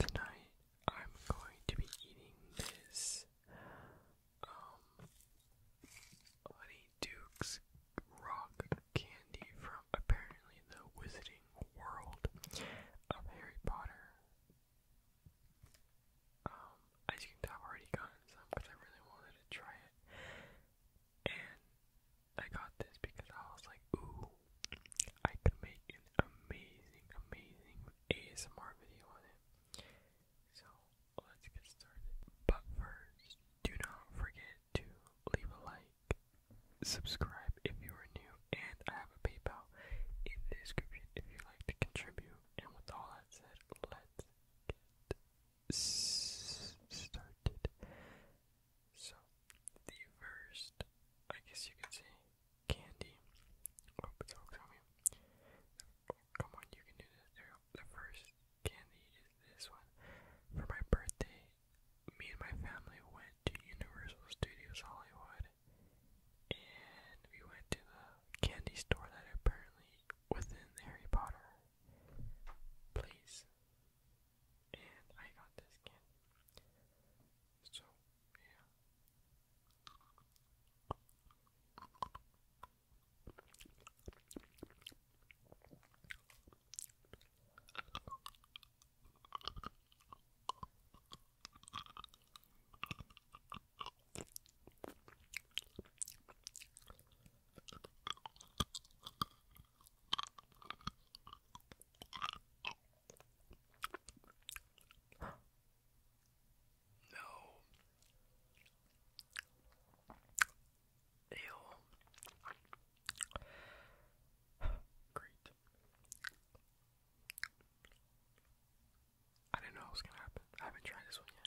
Tonight I'm going to be eating this um rock candy from apparently the Wizarding World of Harry Potter. Um, as you can tell I've already gotten some because I really wanted to try it. And I got this because I was like, ooh, I could make an amazing, amazing ASMR video on it. So let's get started. But first, do not forget to leave a like, subscribe if you are new, and I have a PayPal in the description if you like to contribute. And with all that said, let's get started. So, the first, I guess you could say, candy. Oh, it's all coming. come on, you can do this. The first candy is this one. For my birthday, me and my family went to Universal Studios Hollywood, and we went to the candy store that apparently within Harry Potter place and I got this skin. So, yeah. No. Ew. Great. I didn't know it was gonna happen. I haven't tried this one yet.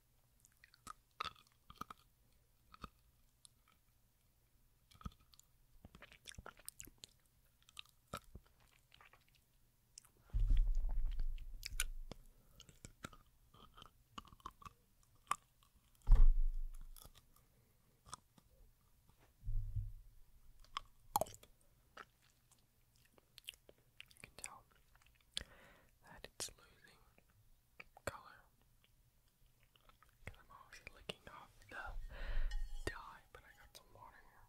You can tell that it's losing color Cause I'm obviously licking off the dye, but I got some water here.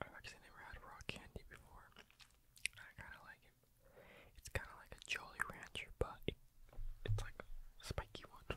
i actually never had raw candy before. I kind of like it. It's kind of like a Jolly Rancher, but it's like a spiky one.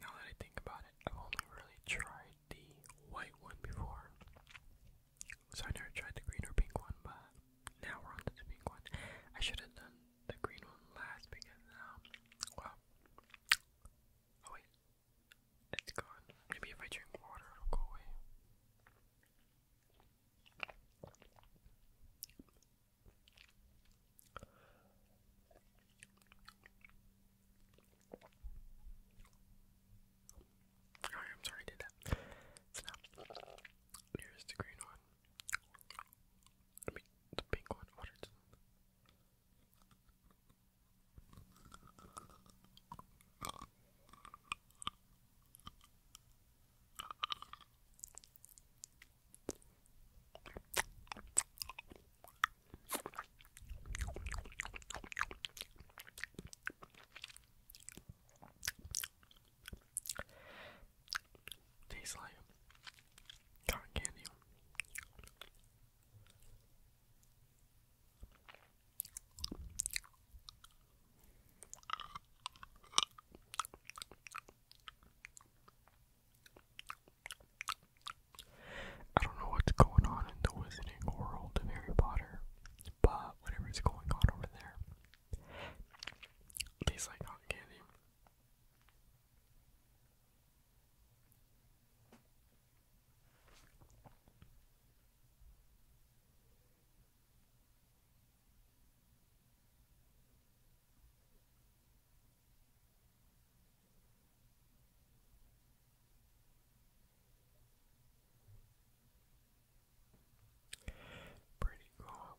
Now that I think about it, I've only really tried the white one before. So I never tried the green or pink one, but now we're on the pink one. I should have done the green one last because um well oh wait. It's gone. Maybe if I drink water it'll go away. Oh, Alright, I'm sorry did that. It's Here's the green one. the pink one. What is Tastes like cotton candy. I don't know what's going on in the wizarding world of Harry Potter, but whatever's going on over there, tastes like cotton candy. Pretty cool.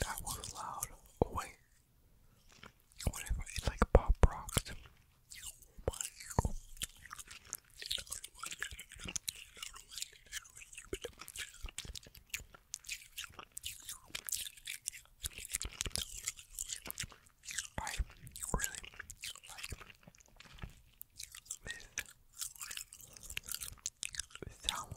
That was loud. Oh, wait. Whatever. It's like pop rocks. Oh, I really like this sound.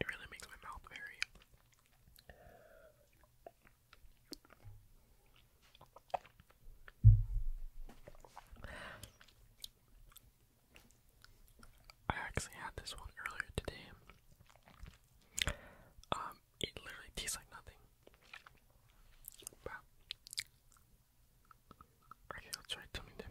It really makes my mouth very I actually had this one earlier today. Um, it literally tastes like nothing. Okay, I'll try something different.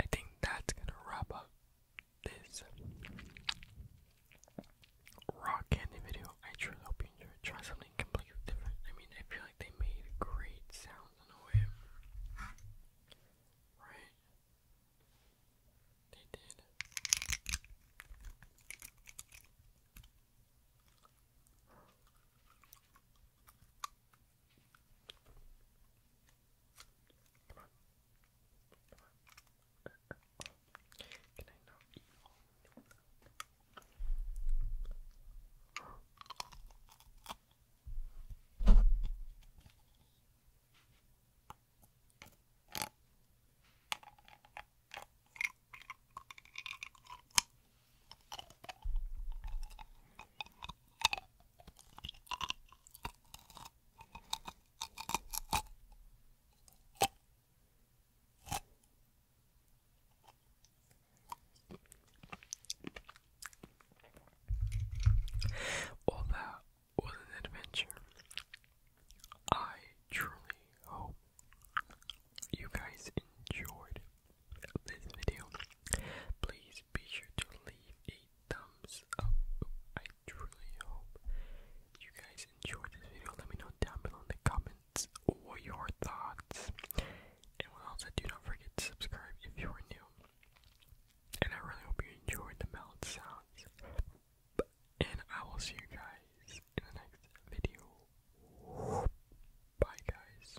I think that's gonna wrap up this rock candy video. I truly hope you enjoyed. Try something completely different. I mean, I feel like they made great sounds in a way, right? They did. Come on. Come on. Uh, uh, oh. Can I not eat all of well, that was an adventure. I truly hope you guys enjoyed this video. Please be sure to leave a thumbs up. I truly hope you guys enjoyed this video. Let me know down below in the comments what your thoughts. And what do not forget to subscribe if you are new. And I really hope you enjoyed the melon sounds. And I will see you guys in the next video. Bye, guys.